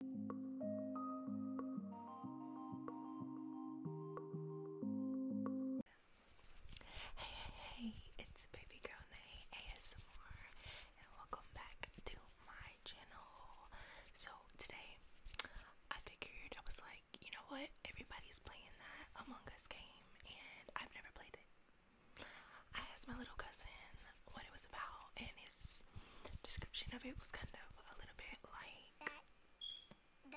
Hey, hey, it's Baby Girl Nay ASMR, and welcome back to my channel. So, today I figured I was like, you know what? Everybody's playing that Among Us game, and I've never played it. I asked my little cousin what it was about, and his description of it was kind of a little bit like um,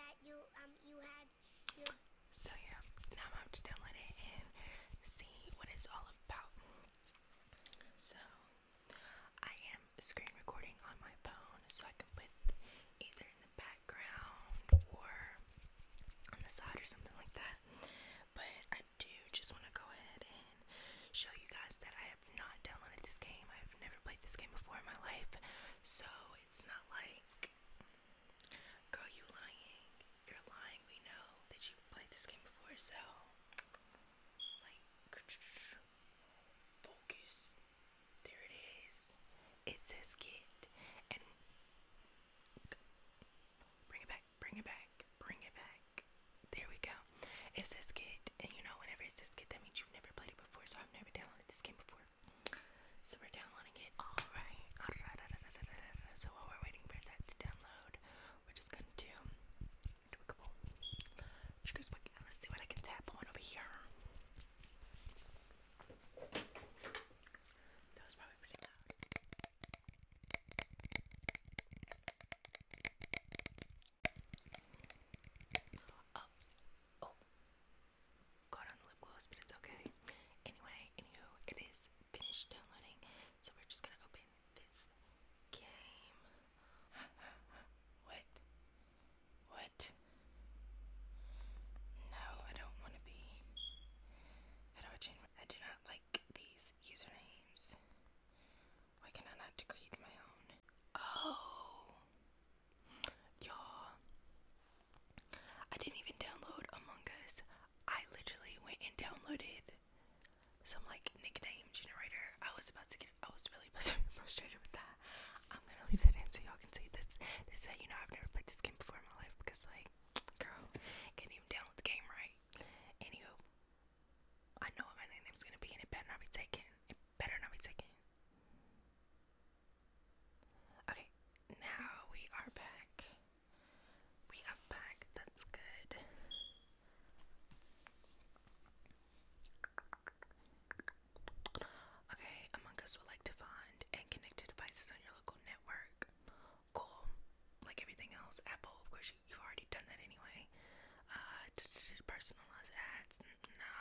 So yeah, now I'm about it and see what it's all about. So I am screen recording on my phone, so I can put either in the background or on the side or something like that. But I do just want to go ahead and show you guys that I not downloaded this game. I've never played this game before in my life. So it's not like, girl, you lying. You're lying. We know that you played this game before. So, like, focus. There it is. It says get and bring it back. Bring it back. Bring it back there we go. It's this kid, and you know, whenever it's this kid, that means you've never played it before, so I've never downloaded this game before. So we're downloading it. Alright. Ah, so while we're waiting for that to download, we're just going to do a couple. Let's see what I can tap on over here. That was probably pretty loud. Oh, oh, got on the lip gloss, but it's okay. Anyway, anywho, it is finished downloading, so we're just gonna open this game. what? What? No, I don't want to be. How do I change? I do not like these usernames. Why can I not create my own? Oh, y'all. I didn't even download Among Us. I literally went and downloaded some like nickname generator. I was about to get. I was really frustrated with that. I'm gonna leave that in so y'all can see this. This is uh, you know I've never played this game before in my life because like, girl, can't even download the game right. Anywho, I know what my is gonna be, and it better not be taken. It better not be taken. Okay, now we are back. We are back. That's good. Okay, Among Us would like to find and connect to devices on your local network. Cool. Like everything else, Apple, of course, you, have already done that anyway. Uh, personalize ads, no.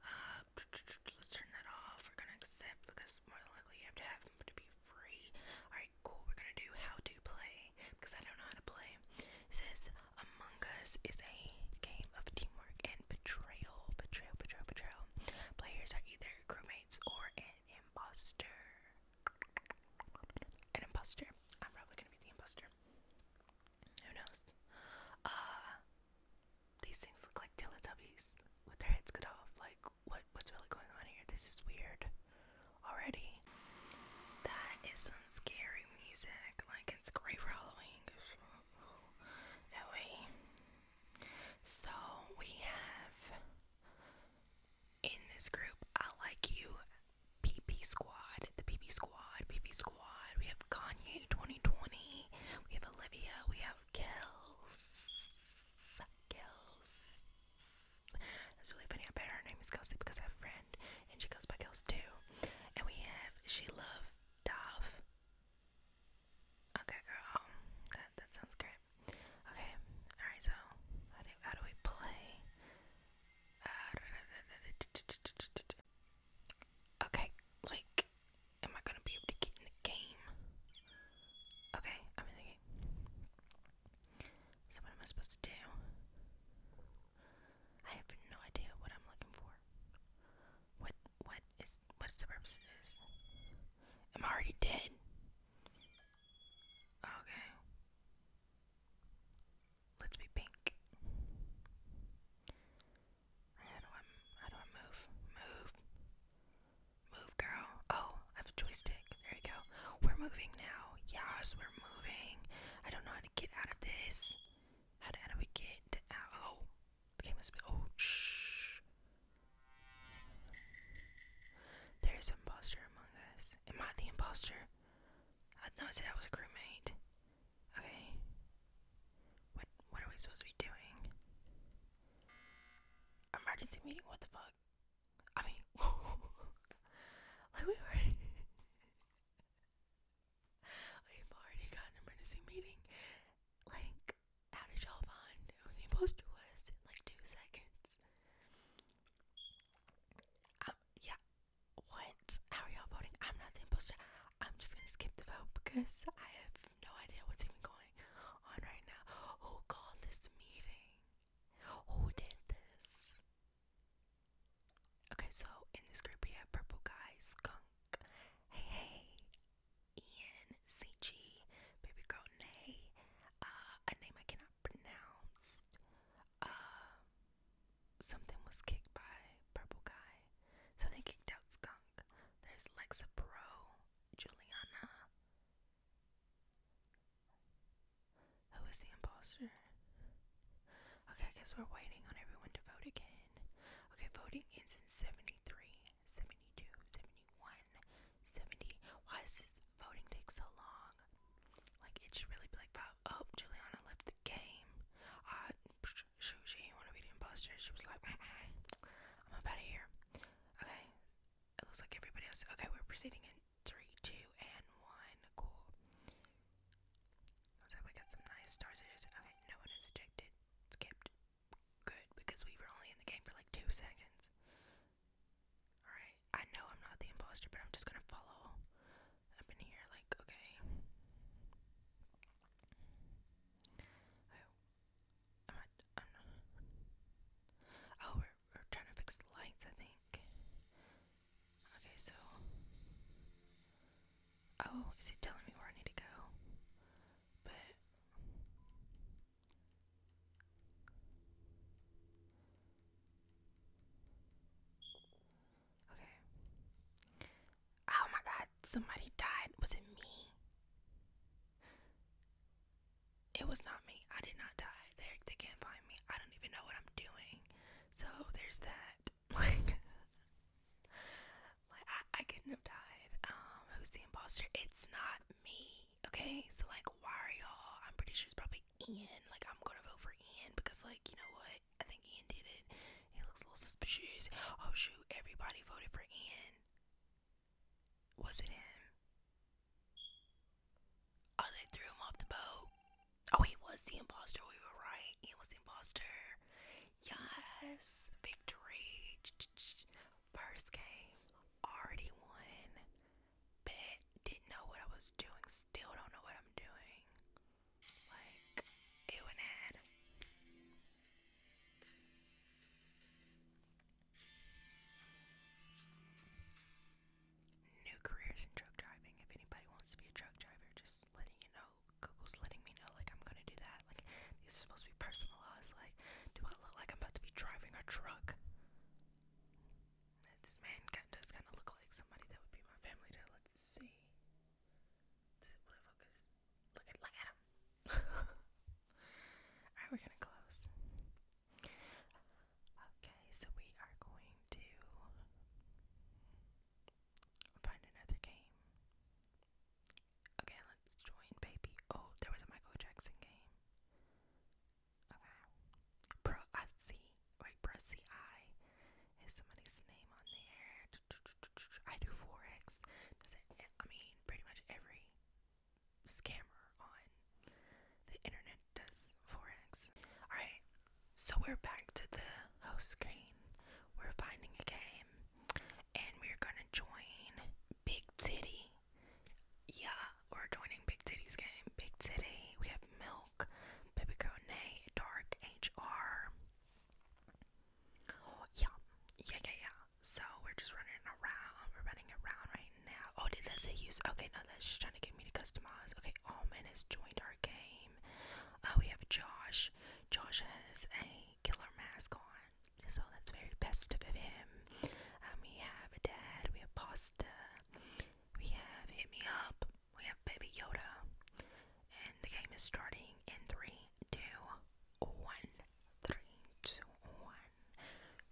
Uh, let's turn that off. We're gonna accept because more than likely you have to have to be free. Alright, cool. We're gonna do how to play because I don't know how to play. It says Among Us is a game of teamwork and betrayal. Betrayal, betrayal, betrayal. Players are either crewmates or an imposter an imposter. I'm probably gonna be the imposter. Who knows? Uh, these things look like Teletubbies with their heads cut off. Like what what's really going on here? This is weird already. That is some scary music. Like it's great for Halloween. Anyway. So we have in this group, I like you, PP Squad, the PP Squad, PP Squad. We have Kanye 2020, we have Olivia, we have Kels. Kels. That's really funny. I bet her name is Kelsey because I have a friend and she goes by Kels too. And we have She Love Dove. Okay, girl. That, that sounds great. Okay, alright, so how do, how do we play? okay, like, am I gonna be able to get in the game? Okay, I'm in the game. So, what am I supposed to do? I have no idea what I'm looking for. What, what is, what's the purpose of this? Am I already dead? Okay. Let's be pink. How do I how do I move? Move. Move girl. Oh, I have a joystick. There you go. We're moving now. Yes, we're moving. I don't know how to get out of this. How do, we get out? Oh, the game must be. Oh, shh. There's an imposter among us. Am I the imposter? I no, I said I was a crewmate. Okay. What what are we supposed to be doing? Emergency meeting? What the fuck? I mean, like we already we've already got an emergency meeting. Like, how did y'all find who the imposter was like two seconds? Um, yeah. What? How are y'all voting? I'm not the imposter. I'm just gonna skip the vote because I have no idea what's even going on right now. Who called this meeting? Who did this? Okay, so in this group we have Purple Guy, Skunk, Hey Hey, Ian, CG, Baby Girl Nay, uh, a name I cannot pronounce, uh, something was kicked by Purple Guy. So kicked out Skunk. There's Lexa Pro, Juliana. Who is the imposter? Okay, because we're waiting on everyone to vote again. Okay, voting ends in 73, 72, 71, Why is this? voting takes so long. Like it should really be like, oh, Juliana left the game. Uh, she didn't want to be the imposter. She was like, I'm out of here. Okay, it looks like everybody else. Okay, we're proceeding in three, two, and one. Cool. Looks like we got some nice stars. Okay, no one is ejected, skipped. Good, because we were only in the game for like two seconds. Alright, I know I'm not the imposter, but I'm just gonna follow up in here, like, okay. I, I'm not, Oh, we're, we're trying to fix the lights, I think. Okay, so. Oh, is it telling me where I need to go? But. Okay. Oh my god, somebody died. Was it me? It was not me. I did not die. They they can't find me. I don't even know what I'm doing. So there's that. Like Like I, I couldn't have died. Um, who's the imposter? It's not me. Okay, so like why all I'm pretty sure it's probably Ian. Like, I'm gonna vote for Ian because, like, you know what? I think Ian did it. He looks a little suspicious. Oh, shoot. Everybody voted for Ian. Was it him? Oh, they threw him off the boat. Oh, he was the imposter. We were right. Ian was imposter. Yes. Victory. First game. Already won bit. Didn't know what I was doing. Still don't know what I'm doing. Like, ew and ad. New careers in truck driving. If anybody wants to be a truck driver, just letting you know. Google's letting me know, like, I'm gonna do that. Like, these are supposed to be personalized. Like, do I look like I'm about to be driving a truck? This man does kind of look like somebody that would be my family. To let's see. Does it focus? Look at look at him. All right, we're gonna close. Okay, so we are going to find another game. Okay, let's join, baby. Oh, there was a Michael Jackson game. Okay. Prasi, wait, Prasi I is somebody's name on there. I do forex. Does mean, pretty much every scammer on the internet does forex. All right. So we're back to the host screen. We're finding a game, and we're gonna join Big City. Yeah, we're joining Big Titty's game. Big Titty, we have Milk, Baby Girl Dark HR. Yeah, yeah, yeah, yeah. So we're just running around. We're running around right now. Oh, did that say use? Okay, no, that's just trying to get me to customize. Okay, Almond has joined our game. Uh, we have Josh. Josh has a killer mask on, so that's very festive of him. And um, we have a dad. We have Pasta. We have Hit Me Up. We have Baby Yoda. And the game is starting in 3, 2,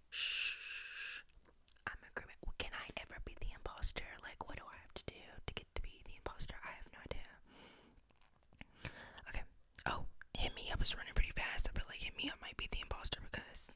Shh. I'm a grim. Can I ever be the imposter? Like, what do I have to do to get to be the imposter? I have no idea. Okay. Oh, Hit Me Up is running pretty fast. I feel like Hit Me Up might be the imposter because,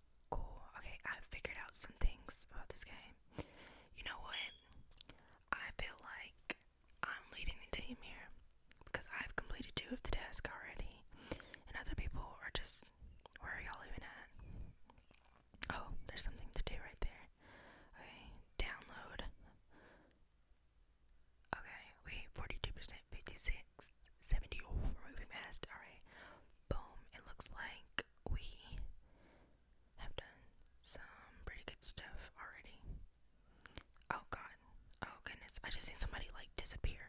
Cool. Okay, I've figured out some things about this game. You know what? I feel like I'm leading the team here because I've completed two of the tasks already, and other people are just. Where are y'all even at? Oh, there's something to do right there. Okay, download. Okay, wait, 42%, 56. 70 oh, we're moving fast, alright. Boom, it looks like we have done some pretty good stuff already. Oh god, oh goodness, I just seen somebody like disappear.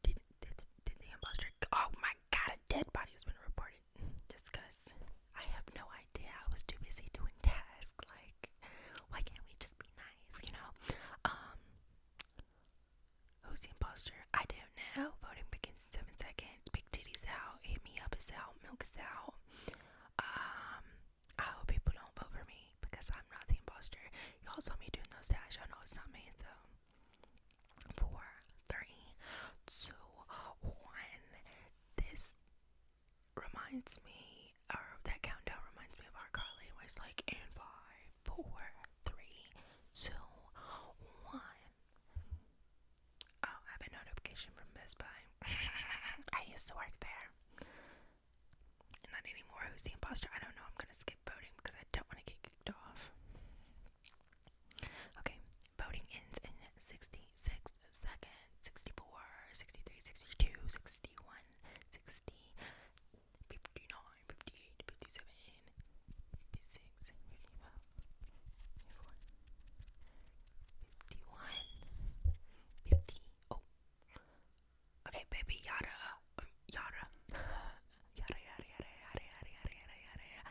Did, did, did the imposter, oh my god, a dead body has been reported. Discuss. I have no idea, I was too busy doing tasks, like, why can't we just be nice, you know? Um, Who's the impostor? I don't know. Voting begins in seven seconds. Big titties out. Hit me up is out. Milk is out. Um, I hope people don't vote for me because I'm not the impostor. Y'all saw me doing those dash. Y'all know it's not me. So, four, three, two, one. This reminds me, or that countdown reminds me of our Carly. It was like, and five, four, three, two, one. Oh, I have a notification from Best Buy. I used to work there. Not anymore. Who's the imposter? I don't know. I'm gonna skip voting because I don't want to get kicked off. Okay, voting ends in 66 seconds. 64, 59, 58, 57, 56, 55, 54, 51, 50. Oh. Okay, baby, yada, um, yada. yada, yada, yada, yada, yada, yada, yada, yada, yada.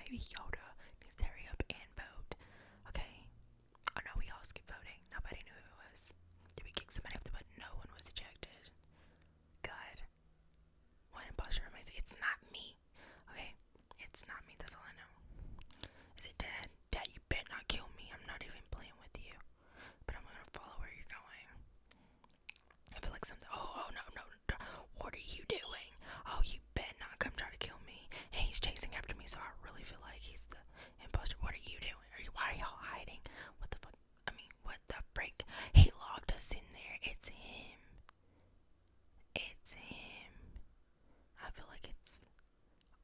Baby Yoda needs to hurry up and vote. Okay? Oh no, we all skipped voting. Nobody knew who it was. Did we kick somebody off the button? No one was ejected. Good. What imposter am I? It's not me. Okay, it's not me. That's all I know. Is it dead? Dead? you bet not kill me. I'm not even playing with you. But I'm gonna follow where you're going. I feel like something. Oh, oh no, no, What are you doing? Oh, you bet not come try to kill me. And he's chasing after me, so I really feel like he's the impostor. What are you doing? Are you? Why are y'all hiding? What the fuck? I mean, what? What the frick? He logged us in there. It's him. It's him. I feel like it's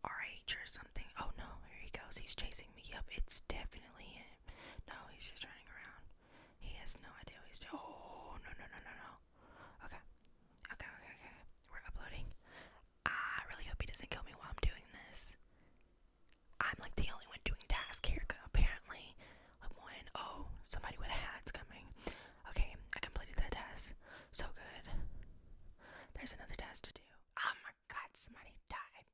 RH or something. Oh no, here he goes. He's chasing me. Yep, it's definitely him. No, he's just running around. He has no idea what he's doing. Oh, no, no, no, no, no. Okay. Okay, okay, okay. We're uploading. I really hope he doesn't kill me while I'm doing this. I'm like the only one doing task here apparently. Like one, oh, somebody with a hat's coming. Okay, I completed that task. So good. There's another task to do. Oh my god, somebody died.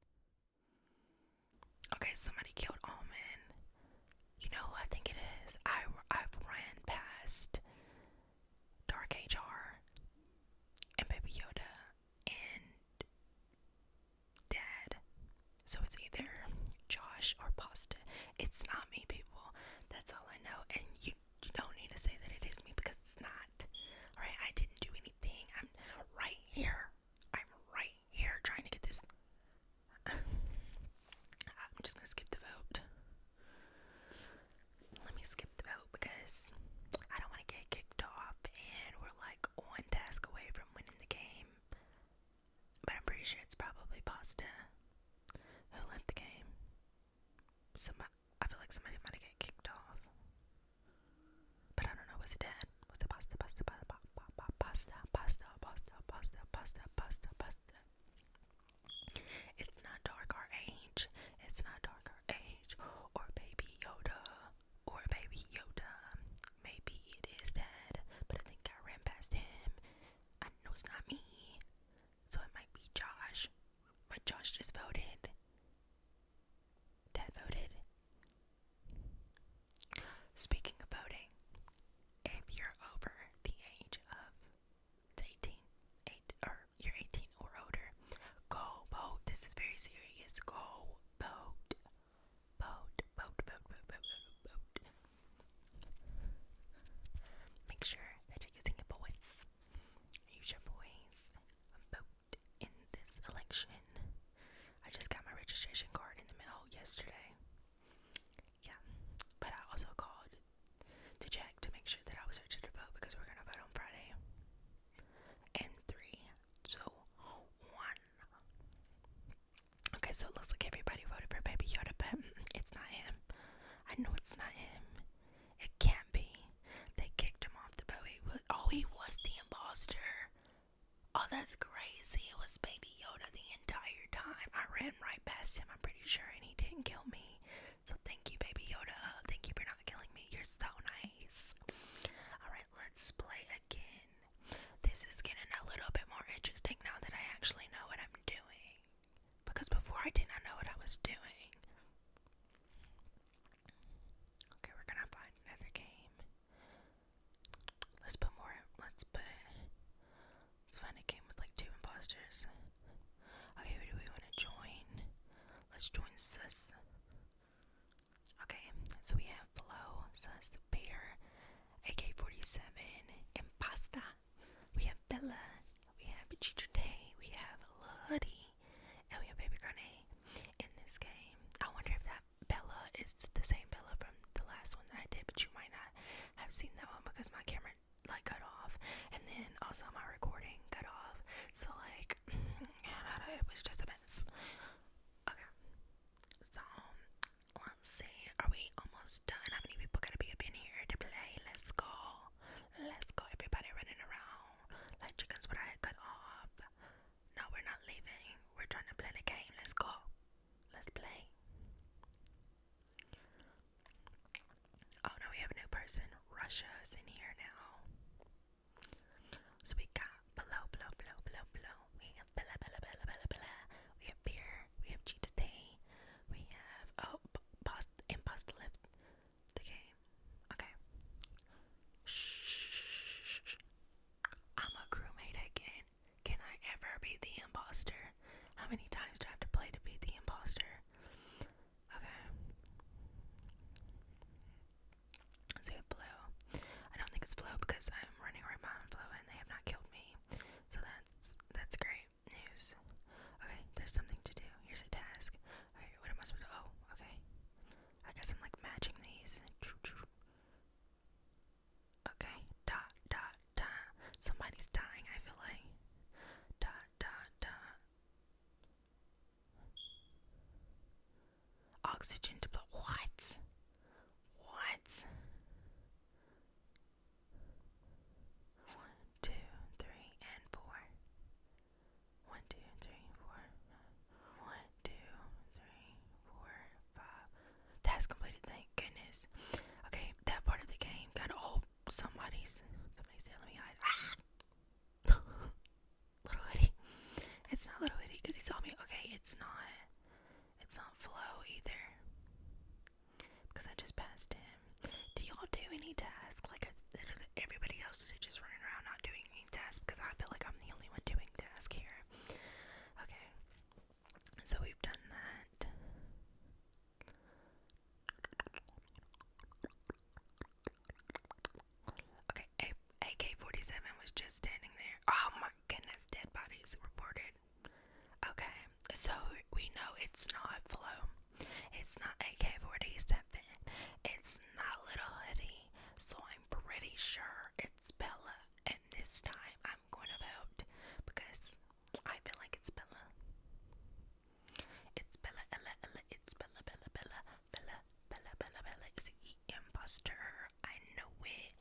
Okay, somebody killed Almond. You know who I think it is? I, I've ran past Dark HR and Baby Yoda and dad. So it's either Josh or Pasta. It's not me, people. That's all I know. And you, you don't need to say that it is me because it's not. Alright, I didn't do anything. I'm right here. I'm right here trying to get this. I'm just gonna skip the vote. Let me skip the vote because I don't want to get kicked off and we're like one task away from winning the game, but I'm pretty sure it's probably Pasta who left the game. Somebody, I feel like somebody might have got kicked off, but I don't know. Was it Dad? Was it Pasta? Pasta? Pasta? Pasta? Pasta? Pasta? Pasta? Pasta? Pasta? Pasta? It's not dark our age. It's not dark our age or Baby Yoda or maybe Yoda. Maybe it is Dad, but I think I ran past him. I know it's not me, so it might be Josh. But Josh just voted. Dad voted. Speaking of voting, if you're over the age of 18, or you're 18 or older, go vote. This is very serious. Go boat, boat, boat, boat, boat, boat, boat, Make sure that you're using your voice. Use your voice. Vote in this election. I just got my registration card in the mail yesterday. Yeah, but I also called to check to make sure that I was registered to vote because we're gonna vote on Friday. And three, two, one. Okay, so it looks like everybody voted for Baby Yoda, but it's not him. I know it's not him. It can't be. They kicked him off the boat. He was, oh, he was the imposter. Oh, that's crazy. It was Baby Yoda the entire time. I ran right past him, I'm pretty sure, and he didn't kill me. So thank you, Baby Yoda. Thank you for not killing me. You're so Alright, let's play again. This is getting a little bit more interesting now that I actually know what I'm doing. Because before I did not know what I was doing. Okay, we're gonna find another game. Let's put more let's put let's find a game with like two imposters. Okay, do we wanna join? Let's join Sus. Okay, so we have Flo, Sus, Bear, AK47, and Pasta. We have Bella, we have Chichute, we have Luddy, and we have Baby Grenade in this game. I wonder if that Bella is the same Bella from the last one that I did, but you might not have seen that one because my camera like cut off and then also my recording cut off so like it was just a Okay. So let's see. Are we almost done? How many people gotta be up in here to play? Let's go. Let's go. Everybody running around like chickens with our head cut off. No, we're not leaving. We're trying to play the game. Let's go. Let's play. Oh no, we have a new person. Russia's in here now. So we got below, below, below, below, below. We have bella, bella, bella, bella, bella. We have beer. We have cheetah tea. We have oh, imposter left the game. Okay. Shh. I'm a crewmate again. Can I ever be the imposter? How many times do I have to play to be the imposter? Okay. So we blue. I don't think it's blue because I'm running right behind blue and they have not killed me. So that's that's great news. Okay, there's something to do. Here's a task. what am I supposed to oh, okay. I guess I'm like matching these. Okay, dot dot dot. Somebody's dying, I feel like. Dot dot dot. Oxygen deploy. What? What? One, two, three, and four. One, two, three, four. One, two, three, four, five. Task completed. Thank goodness. Okay, that part of the game got all somebody's. Somebody's there. Let me hide. Little Hoodie. It's not Little Hoodie because he saw me. Okay, it's not. It's not flow either. Because I just passed him. Do y'all do any tasks? Like everybody else is just running around not doing any tasks because I feel like I'm the only one doing tasks here. Okay. So we've done that. Okay, AK-47 was just standing there. Oh my goodness, dead bodies reported. Okay, so we know it's not Flo. It's not AK-47. It's not Little Hoodie. So I'm pretty sure it's Bella. And this time I'm going to vote because I feel like it's Bella. It's Bella, Ella, Ella, it's Bella, Bella, Bella, Bella, Bella, Bella, Bella is the imposter. I know it.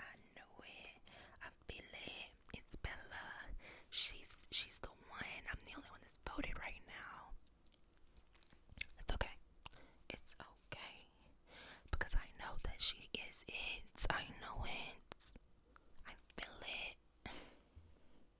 I know it. I feel it. It's Bella. She's she's the one. I'm the only one that's voted right now. It's okay. It's okay. Because I know that she is it. I know it. I feel it. Da,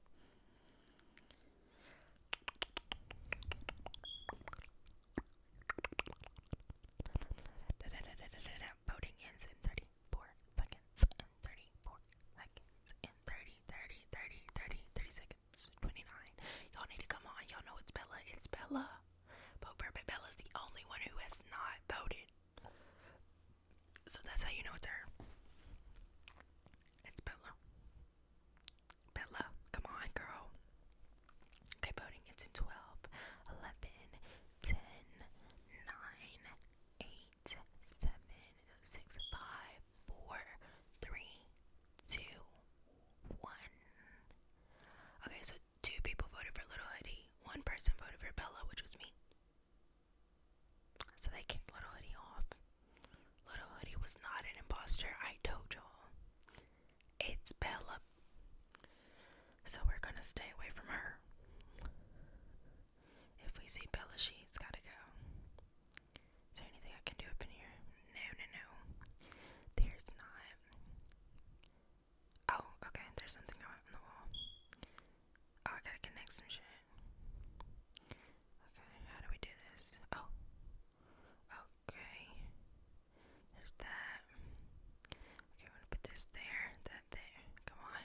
Voting ends in 34 seconds, in 34 seconds, in 30, seconds, 29. Y'all need to come on. Y'all know it's Bella. It's Bella. But Bella's the only one who has not voted. So that's how you know it's her. It's Bella. Bella, come on, girl. Okay, voting. It's in 12, 11, 10, 9, 8, 7, 6, 5, 4, 3, 2, 1. Okay, so two people voted for Little Heidi. one person voted for Bella, which was me. So they kicked Little Hoodie off. Little Hoodie was not an imposter, I told y'all. It's Bella. So we're gonna stay away from her. If we see Bella, she's gotta go. Is there anything I can do up in here? No, no, no. There's not. Oh, okay, there's something going on the wall. Oh, I gotta connect some shit. Okay, how do we do this? Oh. Okay. There's that. Okay, I'm gonna put this there, that there. Come on.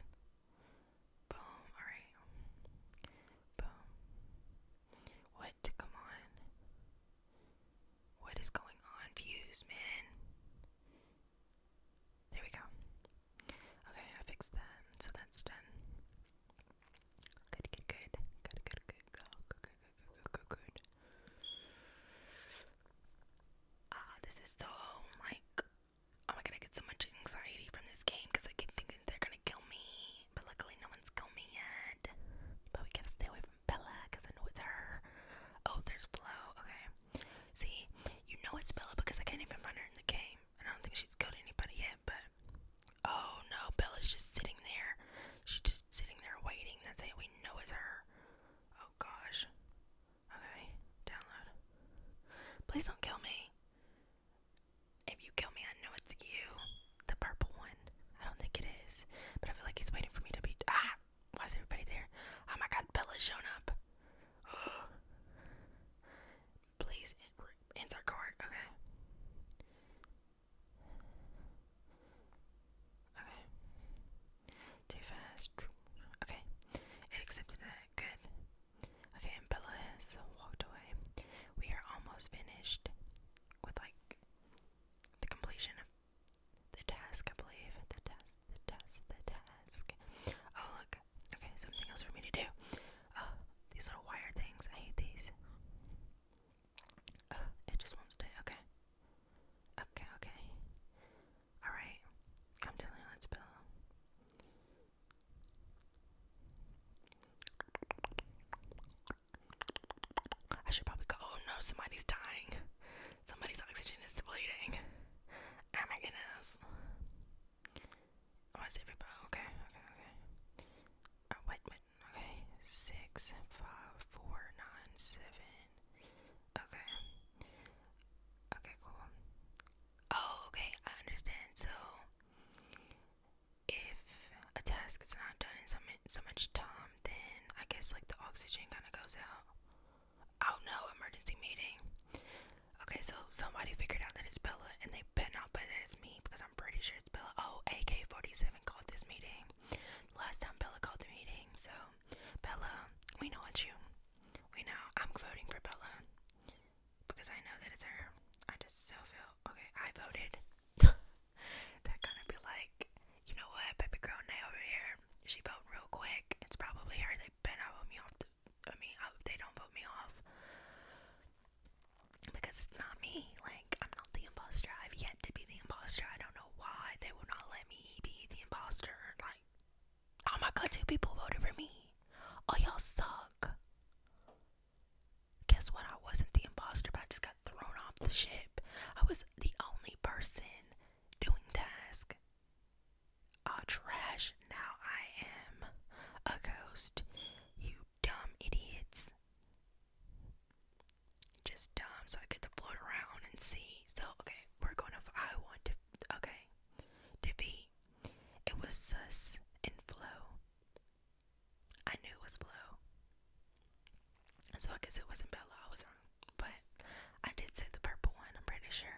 Boom. Alright. Boom. What? Come on. What is going on, Fuse, man? There we go. Okay, I fixed that, so that's done. Good, good, good. Good, good, good, go. Good, good, good, good, good, good. Ah, this is so, like, am I gonna get so much anxiety from this game? Because I keep thinking they're gonna kill me. But luckily, no one's killed me yet. But we gotta stay away from Bella, because I know it's her. Oh, there's Flo. Okay. See, you know it's Bella because I can't even find her in the game. I don't think she's killed anybody yet, but oh no, Bella's just sitting there. She's just sitting there waiting. That's it. We know is her. Oh gosh. Okay, download. Please don't kill me. If you kill me, I know it's you. The purple one. I don't think it is, but I feel like he's waiting for me to be. Ah! Why is everybody there? Oh my god, Bella's shown up. Please insert card. Okay. Okay. Too fast. Okay. It accepted that. Good. Okay, and has walked away. We are almost finished with like the completion of the task, I believe. The task, the task, the task. Oh look, Okay, something else for me to do. Uh, these little wire things, I hate these. it just won't stay. Okay. Okay, okay. Alright. I'm telling you, let's I should probably go. Oh no, somebody's dying. Somebody's oxygen is depleting. Oh my goodness. Oh, is everybody? Okay, okay, okay. Uh, wait, wait, okay. Six, five, four, nine, seven. Okay. Okay, cool. Oh, okay, I understand. So, if a task is not done in so, mi so much time, then I guess like the oxygen kind of goes out. Oh no, emergency meeting. Okay, so somebody figured out that it's Bella, and they bet not bet that it's me because I'm pretty sure it's Bella. Oh, AK47 called this meeting. Last time Bella called the meeting, so Bella, we know it's you. We know I'm voting for Bella because I know that it's her. I just so feel okay. I voted. They're gonna be like, you know what, baby girl, Nay over here. She voted real quick. It's probably her. They bent out me off the I mean, they don't vote me off. Because it's not me. Like, I'm not the imposter. I've yet to be the imposter. I don't know why they will not let me be the imposter. Like, oh my god, two people voted for me. Oh, y'all suck. Guess what? I wasn't the imposter, but I just got thrown off the ship. I was the only person doing task. Ah, trash now I am a ghost. You dumb idiots. Just dumb, so I get to float around and see. So, okay, we're going to. I want to. Okay. Defeat. It was sus and flow. I knew it was blue. So, I guess it wasn't Bella. I was wrong. But I did say the purple one, I'm pretty sure.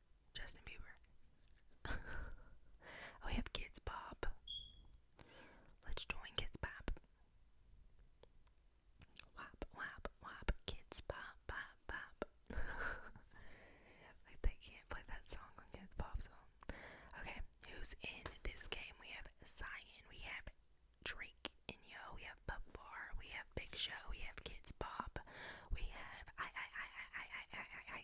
Justin Bieber. we have Kids Bob. Let's join Kids Bob. Wap, wap, wap. Kids Pop, pop, pop. like, they can't play that song on Kids Pop, so. Okay, who's in this game? We have Cyan, we have Drake and Yo, we have Pop Bar, we have Big Show, we have Kids Pop, we have I I I I I I I I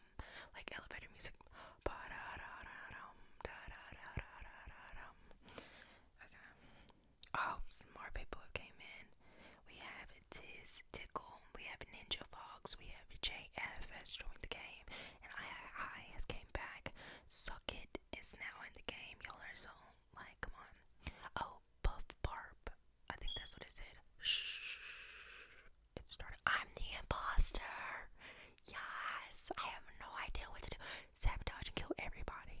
Um, like elevator music. Okay. Oh, more people came in. We have Tiz Tickle. We have Ninja Fox. We have JF joined the game, and I I has came back. Suck it is now in the game. Y'all are so like, come on. Oh, Puff Barb. I think that's what it said. Shh it started. I'm the imposter. Yes, I have no idea what to do. Sabotage and kill everybody.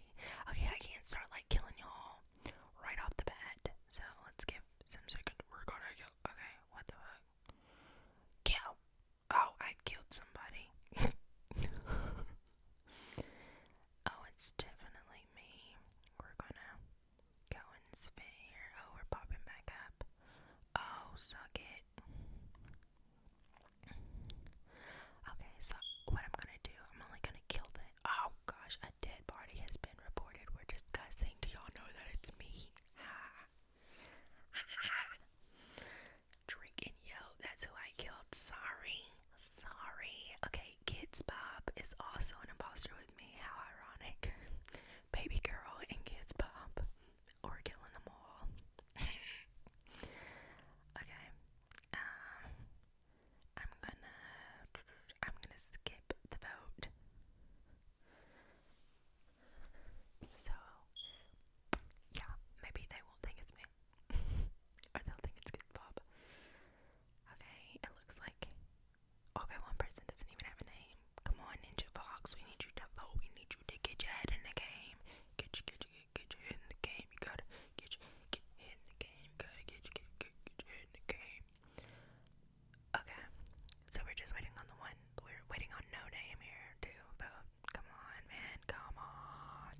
Okay, I can't start like killing y'all right off the bat. So let's give some second. We're gonna kill. Okay, what the fuck? Kill. Oh, I killed somebody. oh, it's definitely me. We're gonna go Oh, we're popping back up. Oh, suck it. Okay, so what I'm gonna do, I'm only gonna kill the. Oh gosh, a dead body has been reported. We're discussing. Do y'all know that it's me? Ha. Drink and yo, that's who I killed. Sorry. Sorry. Okay, Kids Bob is also an imposter with me. How ironic. Baby girl and Kids Bob or killing them all. okay, um, I'm gonna, I'm gonna skip the vote. So, yeah, maybe they won't think it's me, or they'll think it's Good Bob. Okay, it looks like Okay, one person doesn't even have a name. Come on, Ninja Fox. We need you to vote. We need you to get your head in the game. Get you, get you, get, get your head in the game. You gotta get your get your head in the game. You gotta get your get, get, get your head in the game. Okay, so we're just waiting on the one. We're waiting on no name here to vote. Come on, man. Come on.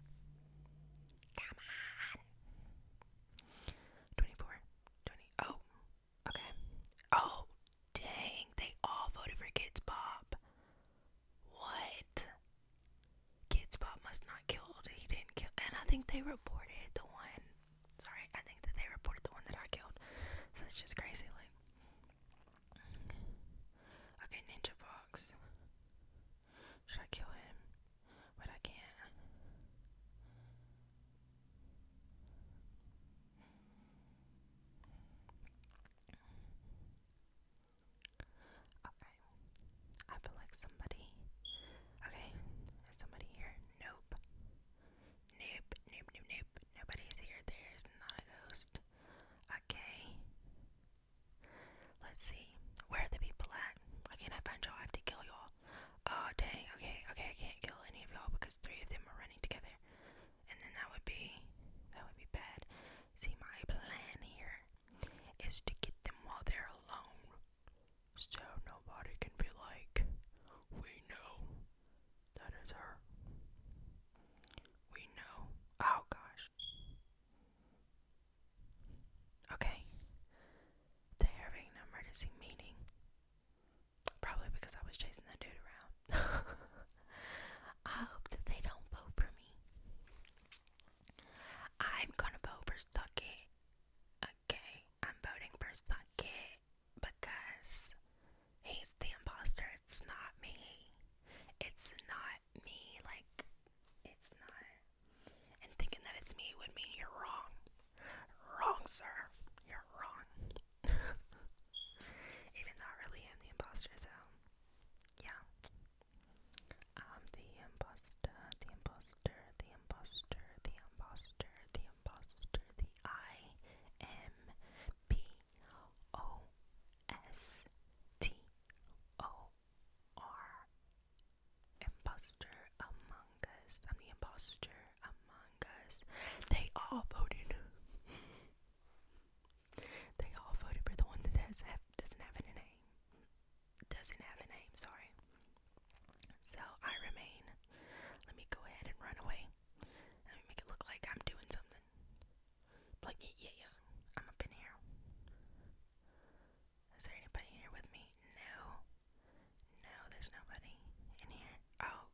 Come on. 24, 20. Oh, Okay. Oh, dang. They all voted for Kids Bob. What? Kids Bob must not killed. He didn't kill. And I think they reported the one. Sorry, I think that they reported the one that I killed. So it's just crazy. Like, okay, Ninja Fox. Should I kill him? But I can't. Okay. I feel like somebody. Okay. Is somebody here? Nope. Nope, nope, nope, Nobody's here. There's not a ghost. Okay. Let's see. Where are the people at? I can't find y'all. I have to kill y'all. Oh, dang. Okay, okay. I can't kill any of y'all because three of them are running together. And then that would be that would be bad. See my plan here is to get them while they're alone. So nobody can be like, we know that is her. We know. Oh gosh. Okay. The Irving number is he meeting? Probably because I was chasing that dude around. I hope that they don't vote for me. I'm gonna vote for Stuckey. Okay, I'm voting for Stuckey because he's the imposter. It's not me. It's not me. Like, it's not. And thinking that it's me would mean you're wrong. Wrong, sir. You're wrong. Even though I really am the imposter, so yeah. I'm the imposter, the imposter, the imposter, the imposter, the imposter, the I M P O S T O R Imposter Among Us. I'm the imposter among Us. They all voted. they all voted for the one that doesn't have, does a name. Doesn't have a name, sorry. So I remain. Let me go ahead and run away. Let me make it look like I'm doing something. Like, yeah, yeah. I'm up in here. Is there anybody here with me? No. No, there's nobody in here. Oh,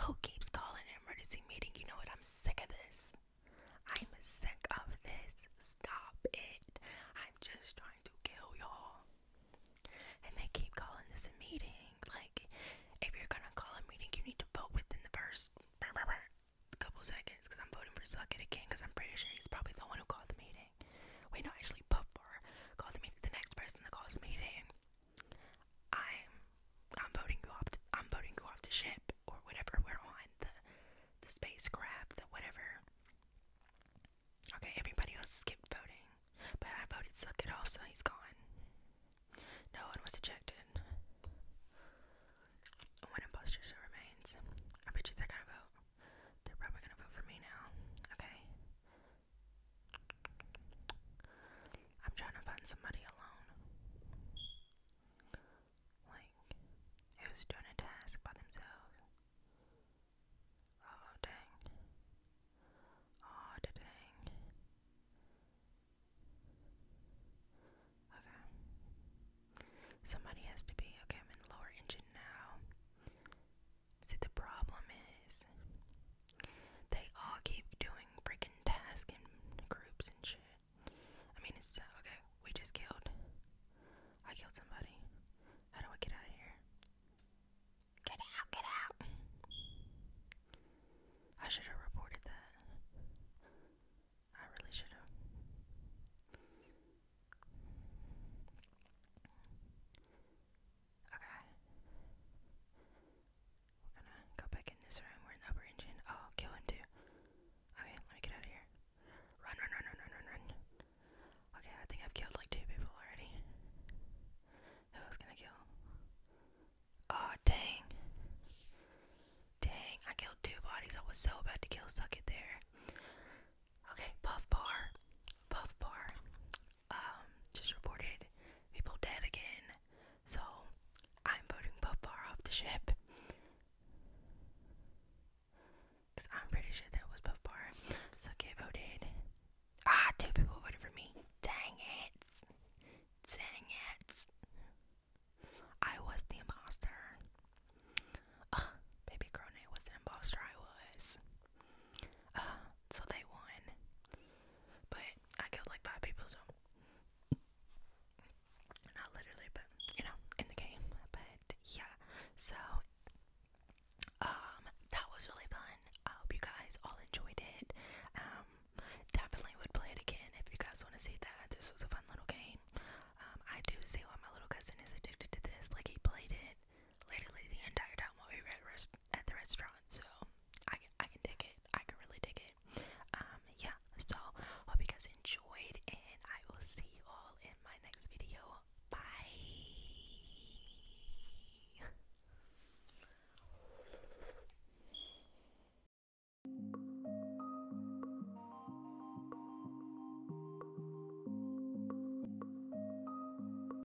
who oh, keeps calling an emergency meeting? You know what? I'm sick of this. I'm sick of this. Stop it. I'm just trying to kill y'all. And they keep calling this a meeting. Like, if you're gonna call a meeting, you need to vote within the first couple seconds. Because I'm voting for Suck It again. Because I'm pretty sure he's probably the one who called the meeting. Wait, no, actually, Puff Bar called the meeting. The next person that calls the meeting. I'm I'm voting you off. The, I'm voting you off the ship or whatever we're on the the spacecraft, the whatever. Okay, everybody else skipped voting, but I voted suck it off, so he's gone. No one was ejected. One imposter remains. I bet you they're gonna vote. They're probably gonna vote for me now. Okay. I'm trying to find somebody alone. Like, who's doing a task by themselves? Oh, dang. Oh, dang. Okay. Somebody has to be. Okay, I'm in lower engine now. See, the problem is they all keep doing freaking tasks and groups and shit. I mean, it's okay. We just killed. I killed somebody. How do I get out of here? Get out, get out. I should have reported that. I really should have. Okay. We're gonna go back in this room. We're in the upper engine. Oh, kill him too. Okay, let me get out of here. Run, run, run, run, run, run, run. Okay, I think I've killed like two people already. Who else can kill? Oh, dang. Dang, I killed two bodies. I was so about to kill Suck It there. Okay, Puff Bar. Puff Bar um, just reported people dead again. So I'm voting Puffbar off the ship. Because I'm pretty sure that was Puffbar. So get voted. Ah, two people voted for me. Dang it. Dang it. I was the imposter. Uh, baby Crone was an imposter. I was. Uh, so they won. But I killed like five people, so. Not literally, but you know, in the game. But yeah, so. Um, that was really fun. I hope you guys all enjoyed it. Um, definitely would play it again if you guys want to see that. This was a fun little game. Um, I do see why my little cousin is addicted to this. Like, he played it literally the entire town while we were at, the restaurant. So I, I can dig it. I can really dig it. Um, yeah. So hope you guys enjoyed, and I will see you all in my next video. Bye.